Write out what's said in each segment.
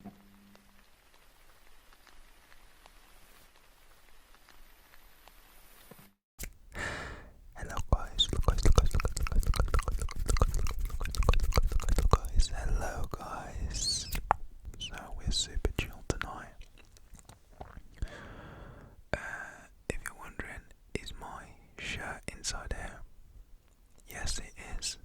Hello guys, look guys, look guys, hello guys. So we're super chill tonight. if you're wondering, is my shirt inside out? Yes, it is.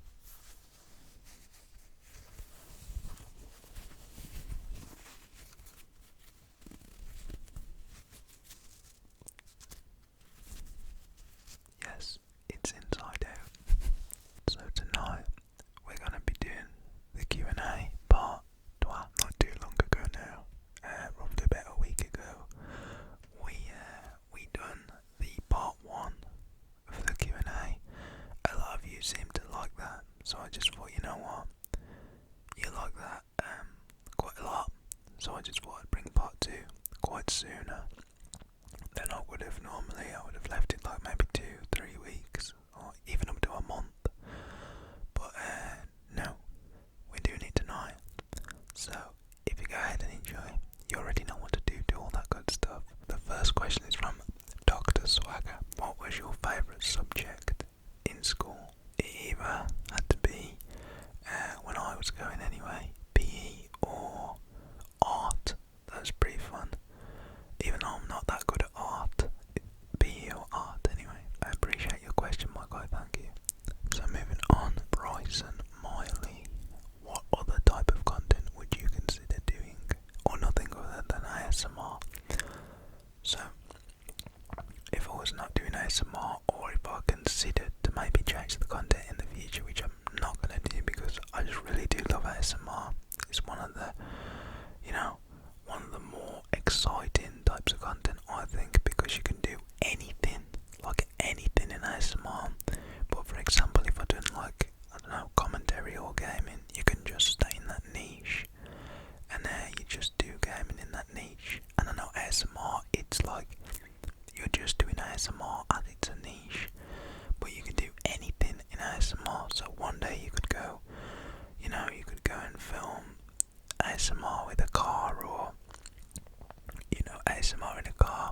Yes, it's inside out. so tonight we're going to be doing the Q&A part. not too long ago now, uh, roughly about a week ago, we uh, we done the part one of the Q and A. A lot of you seem to like that, so I just thought, you know what, you like that um, quite a lot, so I just thought I'd bring part two quite sooner than I would have normally. I would have left it like maybe two, three weeks, or even up to a month. But uh, no, we're doing it tonight. So if you go ahead and enjoy, you already know what to do. Do all that good stuff. The first question is from Dr. Swagger, what was your favourite subject in school? It either had to be, uh, when I was going anyway, PE or art. That was pretty fun. Even though I'm not that good at art, PE or art anyway. I appreciate your question, my guy, thank you. So moving on, Bryson Miley what other type of content would you consider doing? Or nothing other than ASMR. So, if I was not doing ASMR, or if I considered to maybe change the content in the future, which I'm not gonna do because I just really do love ASMR. It's one of the, you know, one of the more exciting types of content I think because you can do anything, like anything in ASMR. But for example, if I did not like like I don't know commentary or gaming, you can just stay in that niche, and there you just do gaming in that niche. And I know ASMR, it's like you're just doing ASMR and it's a niche, but you can do anything in ASMR. So one day you could go, you know, you could go and film ASMR with a car or you know ASMR in a car,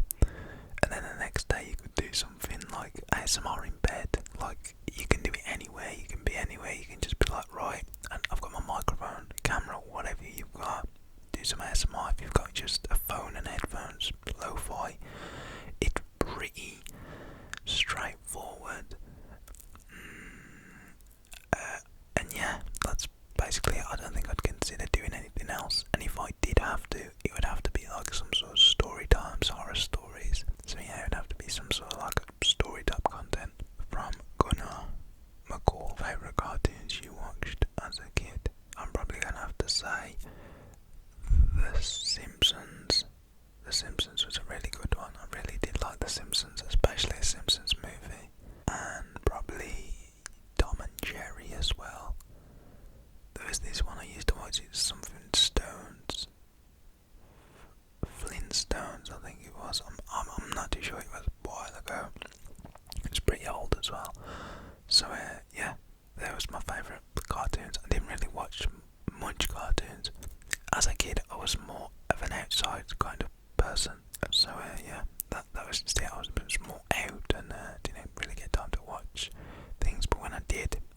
and then the next day you could do some something like ASMR in bed. Like you can do it anywhere, you can be anywhere, you can just be like, right, and I've got my microphone, camera, whatever you've got. Do some ASMR if you've got just a phone and headphones, lo It's pretty straightforward. Mm, uh, and yeah, that's basically I don't think I'd consider doing anything else. And if I did have to, it would have to be like some sort of story times, horror stories. So yeah, it would have to be some sort of like story type content from Gunnar McCall. Favorite cartoons you watched as a kid? I'm probably gonna have to say The Simpsons. The Simpsons was a really good one. I really did like The Simpsons, especially the Simpsons movie, and probably Tom and Jerry as well. There was this one I used to watch, it's something Stones. Flintstones, I think it was. I'm, I'm, not too sure, it was a while ago. It's pretty old as well. So, uh, yeah, that was my favourite cartoons. I didn't really watch much cartoons. As a kid, I was more of an outside kind of person. So, uh, yeah, that, that was just it. I was, more out and uh, didn't really get time to watch things, but when I did,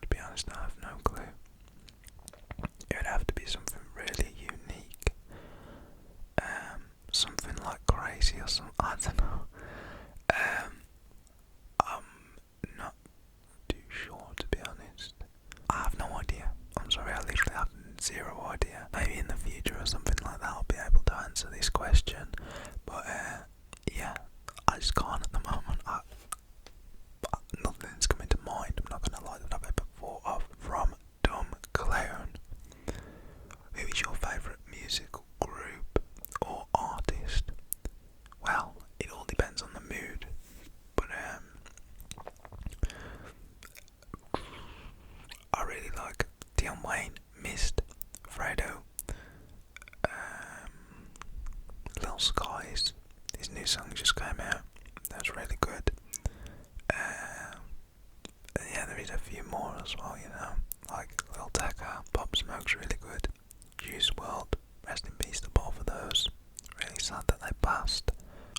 to be honest, I have no clue. It would have to be something really unique, um, something like crazy or something. I don't know. Um, I'm not too sure to be honest. I have no idea. I'm sorry, I literally have zero idea. Maybe in the future or something like that, I'll be able to answer this question. But uh, yeah, I just can't at the moment. But nothing's coming to mind, I'm not gonna lie, that I've ever thought of from Dumb Clown. Who is your favourite music group or artist? Well, it all depends on the mood, but um, I really like Dion Wayne, Mist, Fredo, um, Little Skies. His new song just came out. That's really good. Um, yeah, there is a few more as well. You know, like Little Taka, Pop Smoke's really good. Juice World, rest in peace to both of those. Really sad that they passed.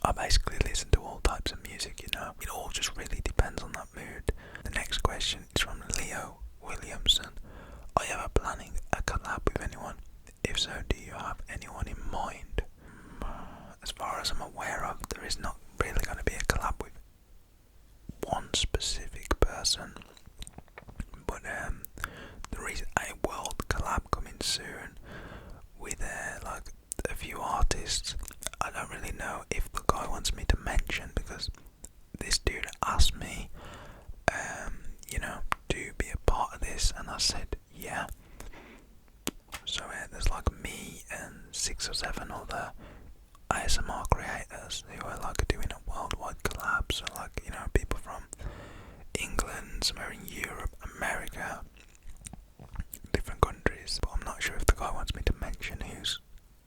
I basically listen to all types of music, you know. It all just really depends on that mood. The next question is from Leo Williamson. Are you ever planning a collab with anyone? If so, do you have anyone in mind? Mm, as far as I'm aware of, there is not really going to be a collab with one specific person, but um, there is a world collab coming soon with uh, like a few artists. I don't really know if the guy wants me to mention because this dude asked me, um, you know, to be a part of this? And I said, yeah. So yeah, there's like me and six or seven other ASMR creators who are like doing a worldwide collapse, So like, you know, people from England, somewhere in Europe, America, different countries. But I'm not sure if the guy wants me to mention who's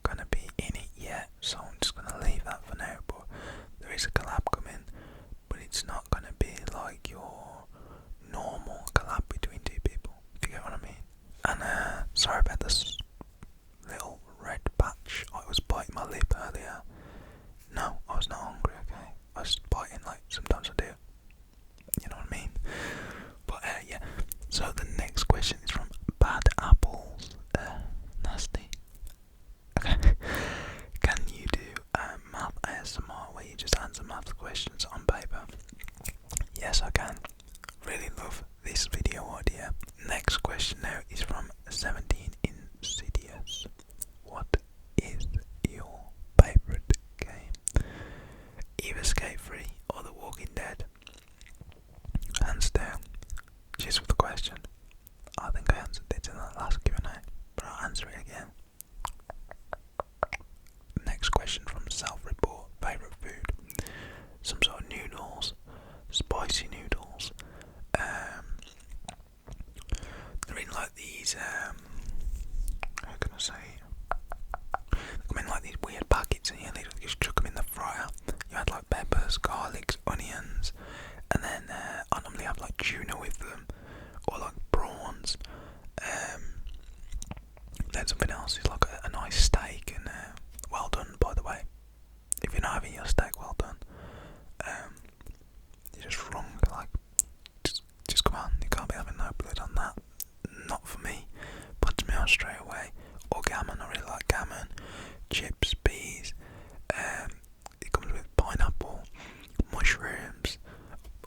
gonna be in it yet, so I'm just gonna leave that for now. But there is a collab coming but it's not going to be like your normal collab between two people. If you get what I mean? And uh, sorry about this little red patch. I was biting my lip earlier. No, I was not hungry, okay? I was biting like sometimes I do. You know what I mean? But uh, yeah. So the next question is from Bad Apples. Uh, nasty. Okay. Can you do um, math ASMR where you just answer math questions on paper? Yes, I can. Really love this video idea. Next question now is from 17 Insidious. What is your favourite game? Either Skate Free or The Walking Dead. Hands down. Cheers for the question. I think I answered this in the last Q&A, but I'll answer it again. Next question from self-report, favourite food, some sort of noodles, spicy noodles, um, they're in like these, um, how can I say, they come in like these weird packets and you just chuck them in the fryer, you add like peppers, garlic, eggs, onions, and then uh, I normally have like tuna with them or like prawns. Um, then something else is like a, a nice steak, and uh, well done by the way. If you're not having your steak, well done. Um, you're just wrong. Like, just, just come on, you can't be having no blood on that. Not for me. Punch me out straight away. Or gammon, I really like gammon. Chips, peas, um, it comes with pineapple, mushrooms,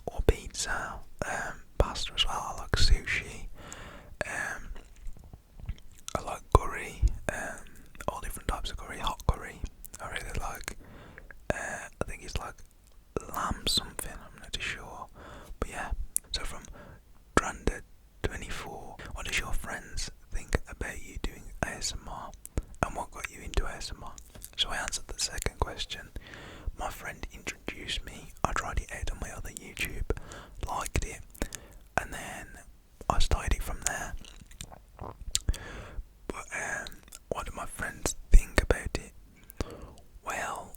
or pizza, um, pasta as well. I like sushi. Um, I like curry, um, all different types of curry, hot curry. I really like. Uh, I think it's like lamb something. I'm not too sure, but yeah. So from Granda24, what does your friends think about you doing ASMR? and what got you into ASMR? So I answered the second question. My friend introduced me, I tried it out on my other YouTube, liked it, and then I started it from there. But um, what do my friends think about it? Well,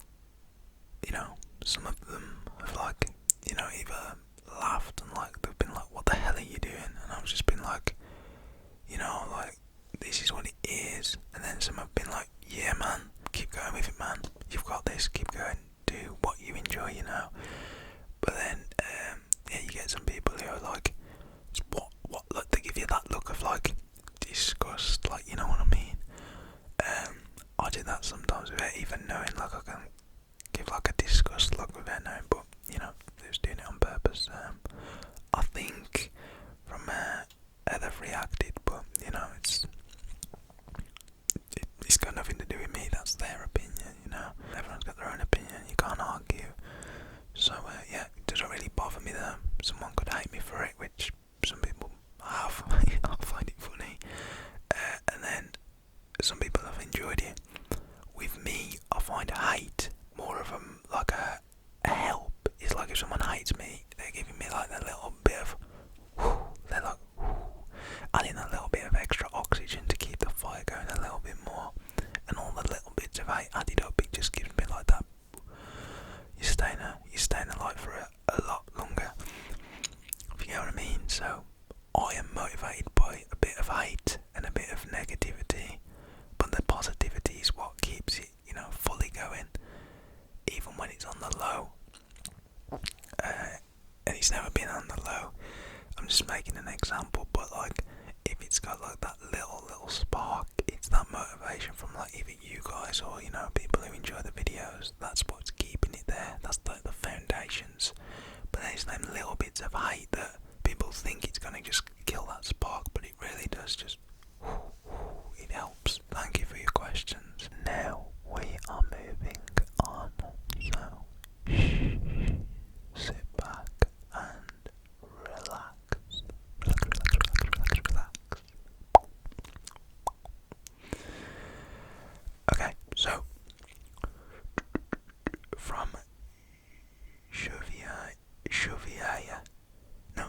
you know, some of them have like, you know, either laughed and like, they've been like, what the hell are you doing? And I've just been like, you know, like, this is what it is. And then some have been like, yeah, man, keep going with it, man. You've got this, keep going, do what you enjoy, you know. But then, um, yeah, you get some people who are like, what, what, like, they give you that look of like, disgust, like, you know what I mean? Um, I do that sometimes without even knowing, like, I can give like a disgust look with their name, but you know they was doing it on purpose. Um, I think from uh, how they reacted, but you know it's it, it's got nothing to do with me. That's their opinion, you know. Everyone's got their own opinion. You can't argue. So uh, yeah, it doesn't really bother me though. Someone could hate me for it, which some people have. I find it funny, uh, and then some people have enjoyed it. With me, I find hate more of a like a, help. It's like if someone hates me, they're giving me like that little bit of, they're like, adding a little bit of extra oxygen to keep the fire going a little bit more. And all the little bits of hate added up, it just gives me like that. You're staying, a, you're staying light for a, lot longer. If you know what I mean. So I am motivated by a bit of hate and a bit of negativity, but the positivity is what keeps it, you know, fully going, even when it's on the low. Uh, and he's never been on the low. I'm just making an example, but like if it's got like that little little spark, it's that motivation from like either you guys or you know people who enjoy the videos. That's what's keeping it there. That's like the foundations. But there's them little bits of hate that people think it's going to just kill that spark, but it really does just. Whoo, whoo, it helps. Thank you for your questions. Now we are moving on. So, sit back and relax. Relax, relax, relax, relax, relax. Okay, so from Shuviya, Shuviyaya, no,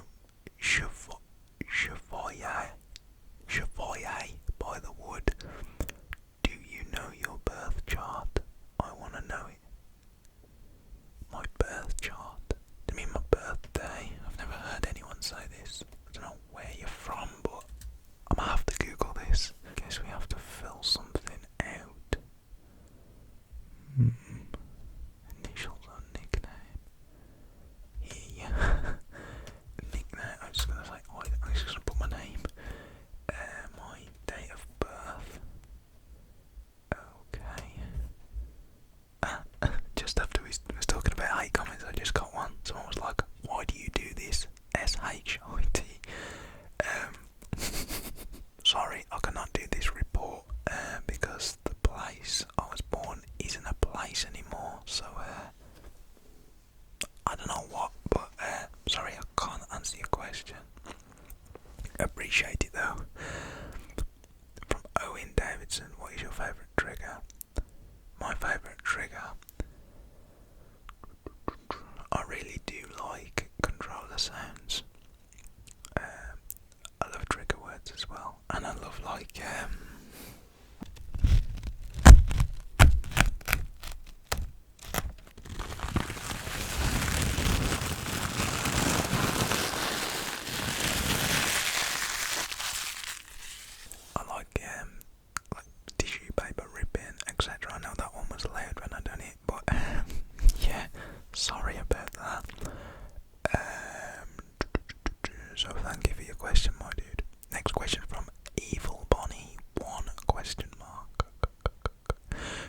Shuvo, Shuvoyai, Shuvoyai by the wood. Do you know your birth chart? I want to know it. My birth chart? I mean my birthday? I've never heard anyone say this. I don't know where you're from, but I'm gonna have to Google this. Guess we have to fill something out. Mm. Initials or nickname? Yeah. nickname. I'm just gonna say. I'm just gonna put my name. Uh, my date of birth. Okay. just after we was talking about hate comments, I just got one. Someone was like, "Why do you do this?" S H I T. Um, sorry, I cannot do this report uh, because the place I was born isn't a place anymore. So uh, I don't know what, but uh, sorry, I can't answer your question. Appreciate it though. From Owen Davidson, what is your favourite trigger? My favourite trigger I really do like controller sounds. Um, I love trigger words as well, and I love like um, I like um, like tissue paper ripping, etc. I know that one was loud when I done it but yeah, sorry about that. Um, so thank you for your question, my dude. Next question from Evil Bonnie. One question mark.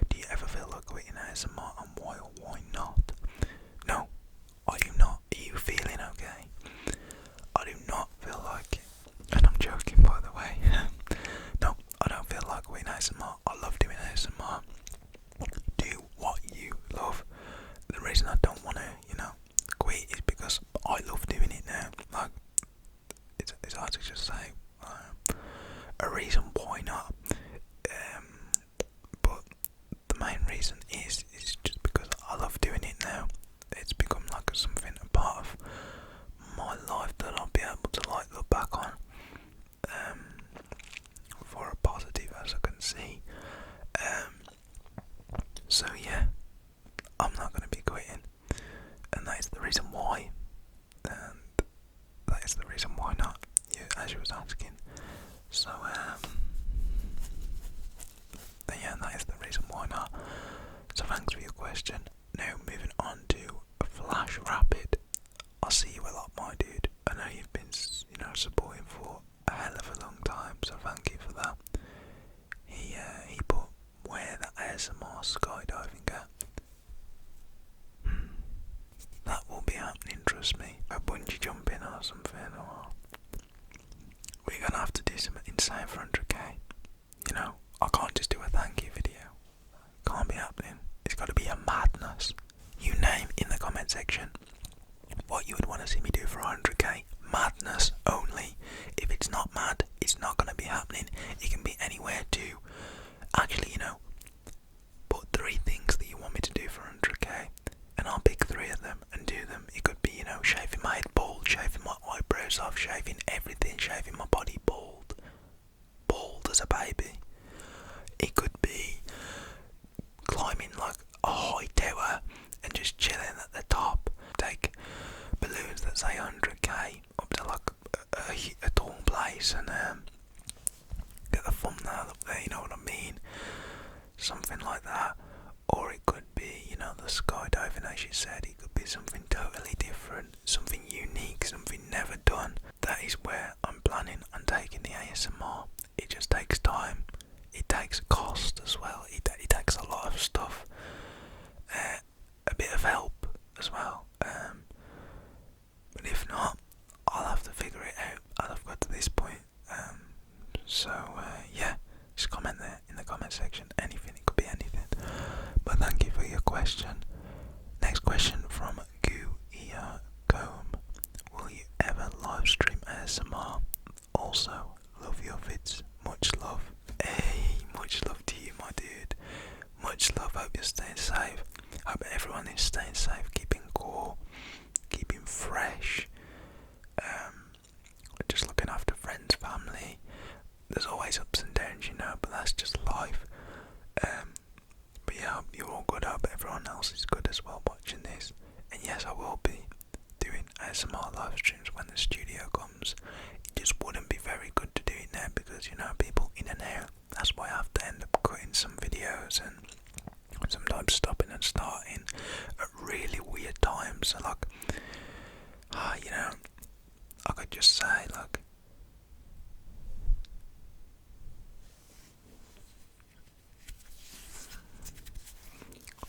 Do you ever feel like quitting ASMR and why not? No, are you not? Are you feeling okay? I do not feel like it. And I'm joking, by the way. no, I don't feel like we ASMR. I love doing ASMR. Do what you love. The reason I don't want to, you know, quit is because I love doing it now. Like, it's, it's hard to just say um, a reason why not. Um, but the main reason is is just because I love doing it now. It's become like something a part of my life that I'll be able to like look back on um, for a positive, as I can see. Um, so yeah, I'm not going to be quitting, and that is the reason why. And that is the reason why not. Yeah, as you was asking. So um, yeah, that is the reason why not. So thanks for your question. Now moving on to flash rapid. I see you a lot, my dude. I know you've been, you know, supporting for a hell of a long time, so thank you for that. He uh, he put where the ASMR skydiving at. Hmm. That will be happening, trust me. I A bungee jumping or something, or we're gonna have to do some insane for 100k. You know, I can't just do a thank you video. Can't be happening. It's got to be a madness. You name in the comment section what you would want to see me do for 100k. Madness only. If it's not mad, it's not going to be happening. It can be anywhere to actually, you know, put three things that you want me to do for 100k, and I'll pick three of them and do them. It could be, you know, shaving my head bald, shaving my eyebrows off, shaving everything, shaving my body bald bald as a baby. It could be climbing like a high tower and just chilling at the top. Take balloons that say 100k up to like a, tall place and um, get the thumbnail up there, you know what I mean? Something like that. Or it could be, you know, the skydiving, as you said, it could be something totally different, something unique, something never done. That is where I'm planning on taking the ASMR. It just takes time. It takes cost as well. It, it takes a lot of stuff. Uh, a bit of help as well. Um, but if not, I'll have to figure it out I've got to this point. Um, so uh, yeah, just comment there in the comment section. Anything, it could be anything. But thank you for your question. Next question from Goo Ia Will you ever live stream ASMR? Also, love your vids. Much love. Hey, much love to you, my dude. Much love. Hope you're staying safe. Hope everyone is staying safe, keeping cool, keeping fresh. Um, just looking after friends, family. There's always ups and downs, you know, but that's just life. Um, but yeah, hope you're all good. I hope everyone else is good as well watching this. And yes, I will be doing ASMR live streams when the studio comes. It just wouldn't be very good to do it now because you know people in and out. That's why I have to end up cutting some videos and sometimes stopping and starting at really weird times. So like, ah, you know, I could just say look.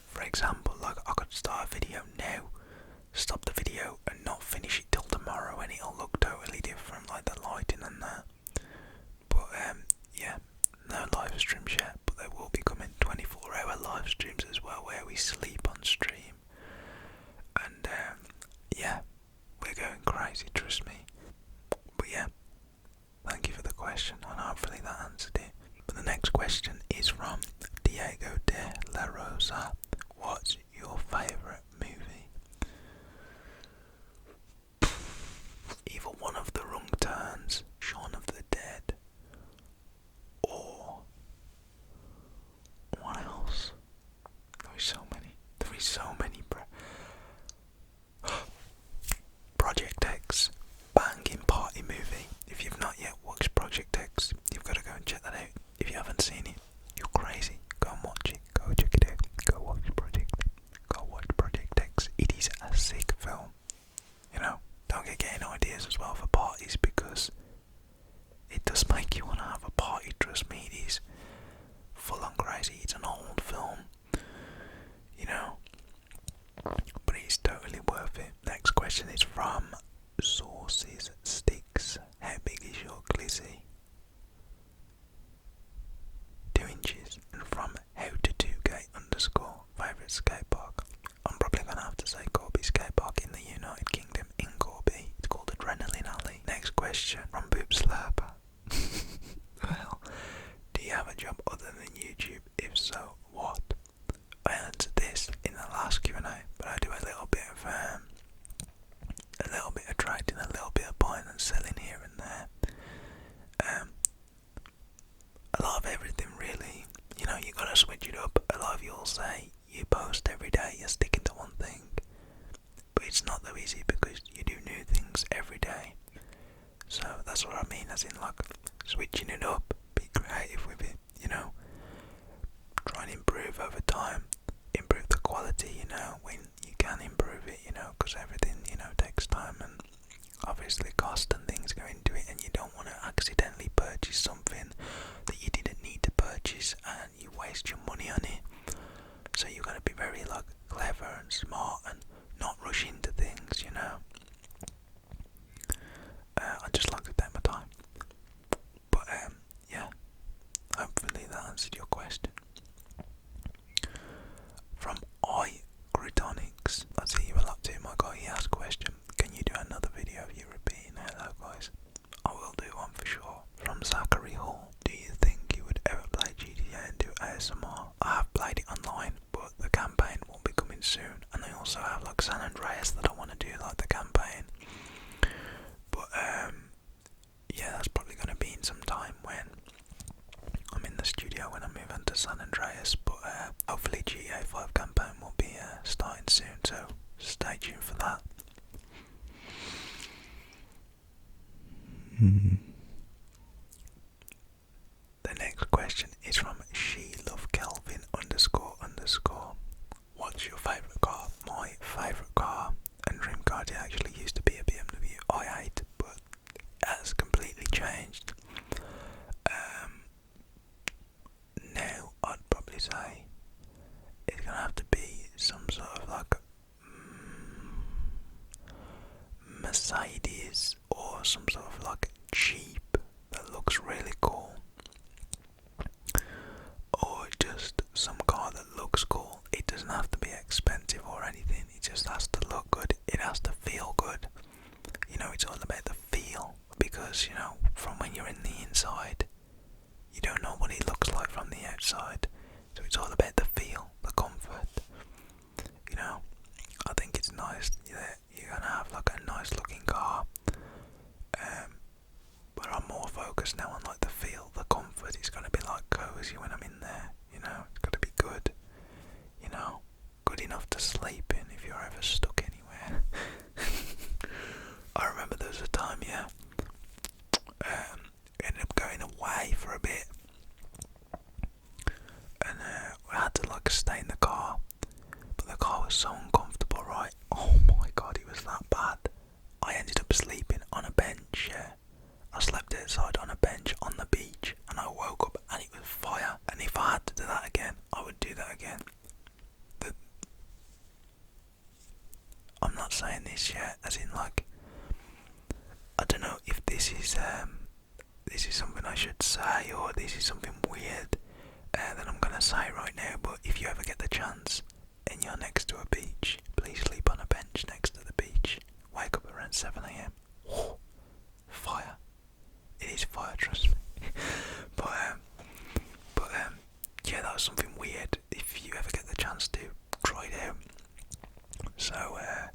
For example, like I could start a video now, stop the video and not finish it till tomorrow and it'll look totally different, like the lighting and that. But um yeah, no live streams yet, but there will be coming 24 hour live streams as well where we sleep on stream. And um yeah, we're going crazy, trust me. But yeah, thank you for the question, and hopefully that answered it. But the next question is from Diego de la Rosa. What's your favourite movie? Either one of the wrong turns, Shaun of the Dead, or what else? There is so many. There is so many. Pro Project X, banging party movie. If you've not yet watched Project X, you've got to go and check that out. If you haven't seen it, you're crazy. Go and watch it. Go check it out. Go watch Project. Go watch Project X. It is a sick film. You know, don't get getting ideas as well for parties because it does make you want to have a party, trust me. It is full on crazy. It's an old film, you know, but it's totally worth it. Next question is from sauces Sticks. How big is your glizzy? Two inches. And from how to 2k underscore favourite skate I'm probably gonna have to say Corby Skate in the United Kingdom in Corby. It's called Adrenaline Alley. Next question from Boop well, do you have a job other than YouTube? If so, what? I answered this in the last Q&A, but I do a little bit of um, a little bit of trading, a little bit of buying and selling here and there. Um, a everything really. You know, you gotta switch it up. A lot of say you post every day, you're sticking to one thing. But it's not that easy because you do new things every day. So that's what I mean, as in like switching it up, be creative with it, you know. Try and improve over time, improve the quality, you know, when you can improve it, you know, because everything, you know, takes time and obviously cost and things go into it, and you don't want to accidentally purchase something that you didn't need to purchase and you waste your money on it. So you are going to be very like clever and smart and not rush into things, you know. Uh, I just like to take my time. But um, yeah, hopefully that answered your question. From I Gritonics, I see you a lot too, my guy. He asked question. Can you do another video of you hello, guys? I will do one for sure. From Zachary Hall. Do you think you would ever play GTA and do ASMR? I have played it online, but the campaign will be coming soon. And I also have like San Andreas that I want to do like the campaign. But um, yeah, that's probably gonna be in some time when I'm in the studio when I move on to San Andreas, but uh, hopefully GTA 5 campaign will be uh, starting soon, so stay tuned for that. Hmm. The next question is from she Loves Kelvin underscore underscore. What's your favourite car? My favourite car and dream car it actually used to be a BMW i8, but has completely changed. Um, now I'd probably say it's gonna have to be some sort of like Mercedes or some sort of like Jeep that looks really cool, or just some car that looks cool. It doesn't have to be expensive or anything, it just has to look good, it has to feel good. You know, it's all about the feel because you know, from when you're in the inside, you don't know what he looks like from the outside. So it's all about the feel, the comfort. You know, I think it's nice that you're gonna have like a nice looking car. Um, but I'm more focused now on like the feel, the comfort. It's gonna be like cozy when I'm in there. You know, it's going to be good. You know, good enough to sleep in if you're ever stuck anywhere. I remember there was a time, yeah. Um, ended up going away for a bit, and uh, I had to like stay in the car, but the car was so uncomfortable, right? Oh my god, it was that bad. I ended up sleeping on a bench. Yeah. I slept outside on a bench on the beach, and I woke up and it was fire. And if I had to do that again, I would do that again. I'm not saying this yet, as in like I don't know if this is um, this is something I should say or this is something weird uh, that I'm gonna say right now. But if you ever get the chance and you're next to a beach, please sleep on a bench next to the beach. Wake up around seven a.m. fire! It is fire, trust me. but um, but um, yeah, that was something weird. If you ever get the chance to try it out. So, uh,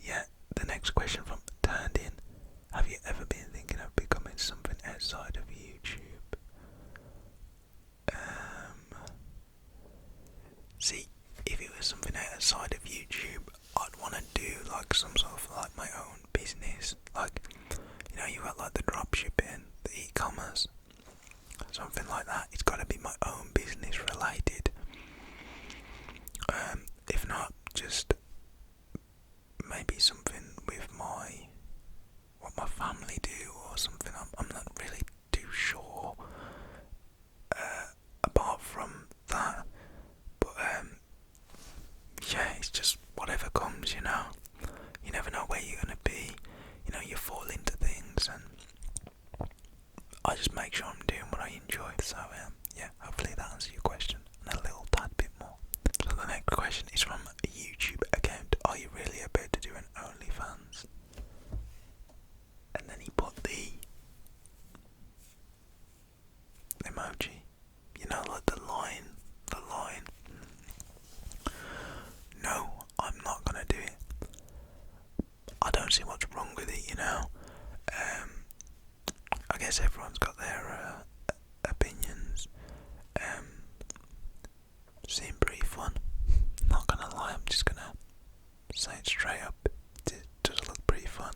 yeah, the next question from Turned In: Have you ever been thinking of becoming something outside of YouTube? Um, see, if it was something outside of YouTube, I'd want to do like some sort of like my own business, like you know, you got like the dropshipping, the e-commerce something like that. It's got to be my own business related. Um, if not, just maybe something with my what my family do or something. I'm, I'm not really too sure. Uh, apart from that, but um, yeah, it's just whatever comes, you know you never know where you're going to be. You know, you fall into things, and I just make sure I'm doing what I enjoy. So, um, yeah, hopefully that answers your question and a little tad bit more. So, the next question is from a YouTube account Are you really about to do an OnlyFans? And then he put the emoji. You know, like the line, the line. No, I'm not gonna do it. I don't see what's wrong with it, you know. Um, I guess everyone's got their uh, opinions. Um, seemed pretty fun. Not gonna lie, I'm just gonna say it straight up. It does look pretty fun.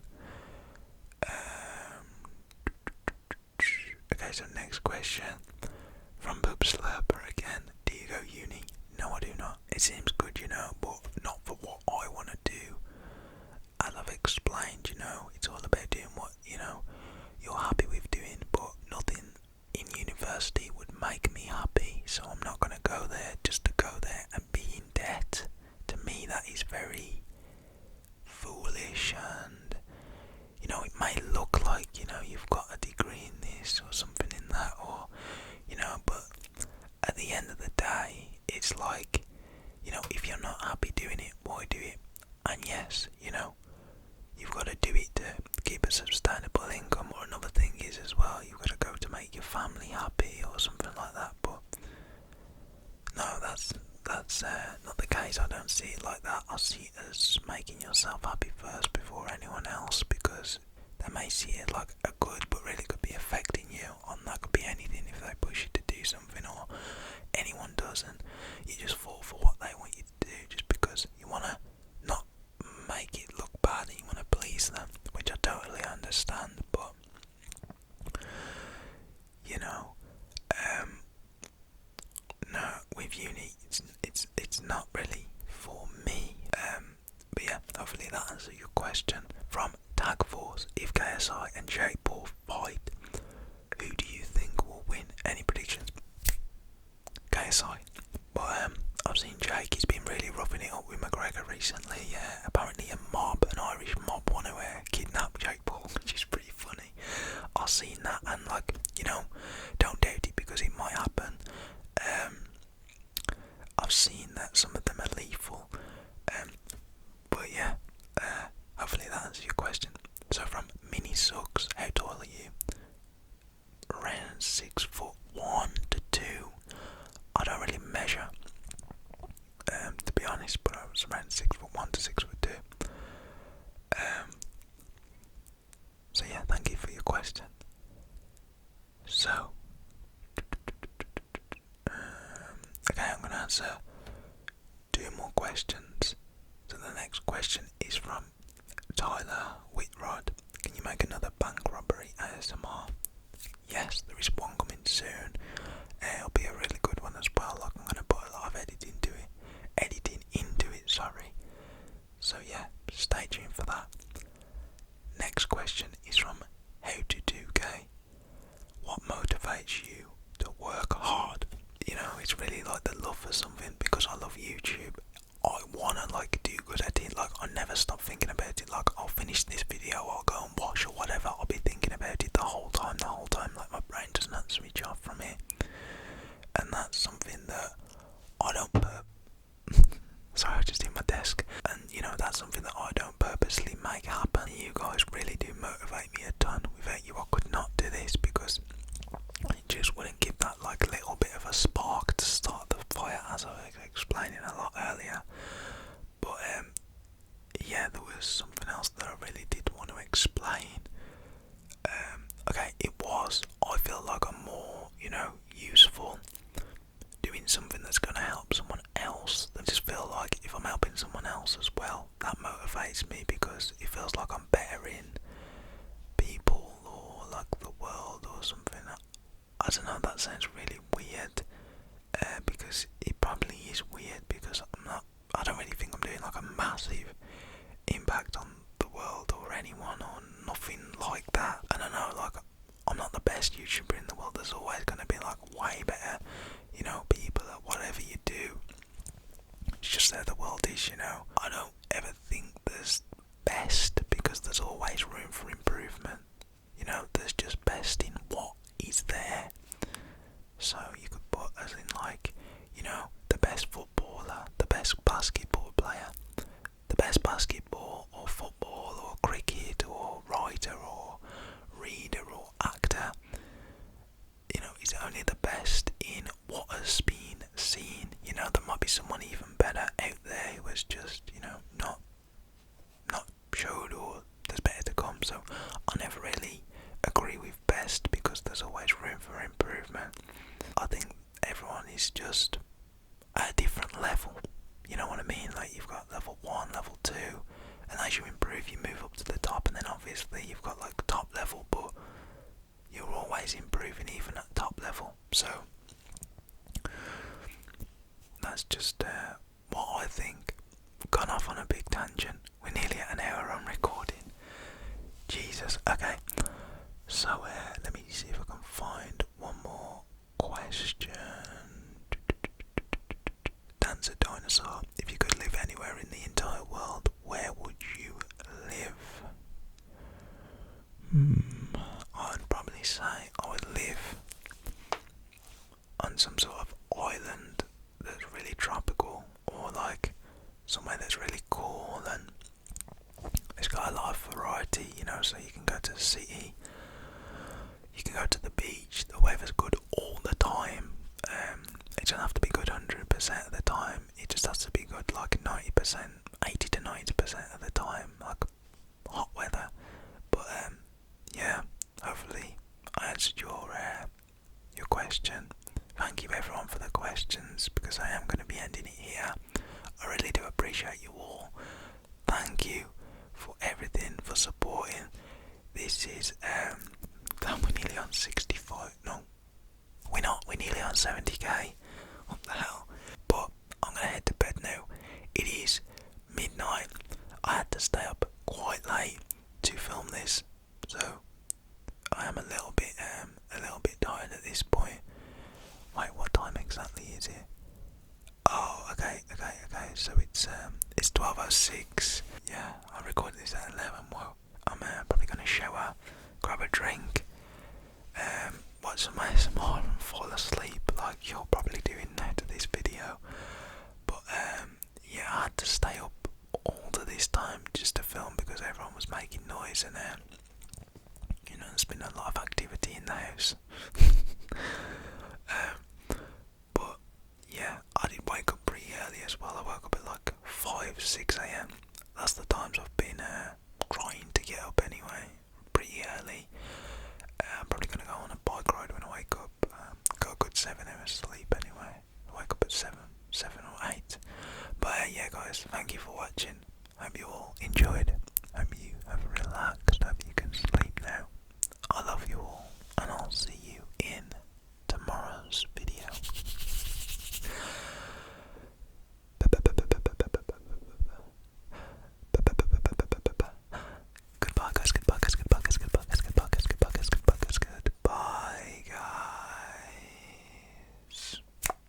Um, okay, so next question from Boop Slapper again. Do you go uni? No, I do not. It seems good, you know, but not for what I want to do. I've explained, you know, it's all about doing what, you know, you're happy with doing, but nothing in university would make me happy, so I'm not going to go there just to go there and be in debt. To me, that is very foolish and you know it may look like you know you've got a 50 greenness or something in that, or you know, but at the end of the day, it's like you know, if you're not happy doing it, why do it? And yes, you know, you've got to do it to keep a sustainable income, or another thing is as well, you've got to go to make your family happy or something like that, but no, that's that's uh, not the case. I don't see it like that. I see see it as making yourself happy first before anyone else because they may see it like a good but really could be affecting you and that could be anything if they push you to do something or anyone does and you just fall for what they want you to do just because you want to not make it look bad and you want to please them which I totally understand but you know um no with uni it's it's it's not really for me. Um, but yeah, hopefully that answers your question. From Tag Force, if KSI and Jake Paul fight, who do you think will win? Any predictions? KSI. But um, I've seen Jake, he's been really roughing it up with McGregor recently. Yeah, apparently a mob, an Irish mob, want to uh, kidnap Jake Paul, which is pretty funny. I've seen that and like, you know, don't doubt it because it might happen. Um, I've seen that some of them are lethal. Um, but yeah, uh, hopefully that answers your question. So from Mini Sucks, how tall are you? Around six foot one to two. I don't really measure, um, to be honest, but I was around six foot one to six foot two. Um, so yeah, thank you for your question. So, um, okay, I'm going to answer two more questions. So the next question is from Tyler Whitrod. Can you make another bank robbery ASMR? Yes, there is one coming soon. Uh, it'll be a really good one as well. Like I'm going to put a lot of editing into it, editing into it. Sorry. So yeah, stay tuned for that. Next question is from How to Do k What motivates you to work hard? You know, it's really like the love for something because I love YouTube. I wanna like do good at it. Like I never stop thinking about it. Like I'll finish this video, I'll go and watch or whatever. I'll be thinking about it the whole time, the whole time. Like my brain does not switch off from here. and that's something that I don't put Sorry, I just hit my desk. And you know, that's something that I don't purposely make happen. You guys really do motivate me a ton. Without you, I could not do this because it just wouldn't give that like little bit of a spark to start the fire, as I was explaining a lot earlier. But um, yeah, there was something else that I really did want to explain. Um, okay, it was. I feel like I'm more, you know, useful doing something that's going to help someone else. I just feel like if I'm helping someone else as well, that motivates me because it feels like I'm bettering people or like the world or something. I don't know, that sounds really weird uh, because it probably is weird because I'm not, I don't really think I'm doing like a massive impact on the world or anyone or nothing like that. I don't know, like, I'm not the best YouTuber in the world. There's always going to be like way better, you know, people at whatever you do. It's just how the world is, you know. I don't ever think there's best because there's always room for improvement. You know, there's just best in what is there. So you could put as in like, you know, the best footballer, the best basketball player, the best basketball or football or cricket or writer or reader or actor. You know, he's only the best in what has been seen. You know, there might be someone even better out there who was just, you know, not not showed or there's better to come. So I never really agree with best because there's always room for improvement. I think everyone is just at a different level. You know what I mean? Like you've got level one, level two, and as you improve, you move up to the top, and then obviously you've got like top level, but you're always improving even at top level. So that's just uh, what I think. Gone off on a big tangent. We're nearly at an hour on recording. Jesus. Okay. So uh, let me see if I can find one more question. Dancer Dinosaur, if you could live anywhere in the entire world, where would you live? Hmm, I'd probably say I would live on some sort of island that's really tropical or like somewhere that's really cool and it's got a lot of variety, you know, so you can go to the city, you can go to the beach, the weather's good all the time. Um, it doesn't have to be good 100% of the time, it just has to be good like 90%, 80 to 90% of the time, like hot weather. But um, yeah, hopefully I answered your uh, your question. Thank you everyone for the questions because I am going to be ending it here. I really do appreciate you all. Thank you for everything, for supporting. This is, um, we're nearly on 65. No, we're not, we're nearly on 70k. What the hell? But I'm gonna head to bed now. It is midnight. I had to stay up quite late to film this, so I am a little bit, um, a little bit tired at this point. Wait, what time exactly is it? Oh, okay, okay, okay. So it's um, it's twelve oh six. Yeah, I recorded this at eleven. Well, I'm uh, probably gonna shower, grab a drink, um, watch some ASMR and fall asleep, like you're probably doing now to this video. But um, yeah, I had to stay up all to this time just to film because everyone was making noise in there you know, there's been a lot of activity in the house. Um, but yeah, I did wake up pretty early as well. I woke up at like 5 6 a.m. That's the times I've been trying uh, to get up anyway, pretty early. Uh, I'm probably gonna go on a bike ride when I wake up. Um, got a good seven hours sleep anyway. I wake up at seven, seven or eight. But uh, yeah, guys, thank you for watching. Hope you all enjoyed. Hope you have relaxed. Hope you can sleep now. I love you all, and I'll see you in tomorrow's video. Goodbye, guys. Goodbye, guys. Goodbye, guys. Goodbye, guys. Goodbye, guys. Goodbye, guys. Goodbye, guys. Goodbye, guys.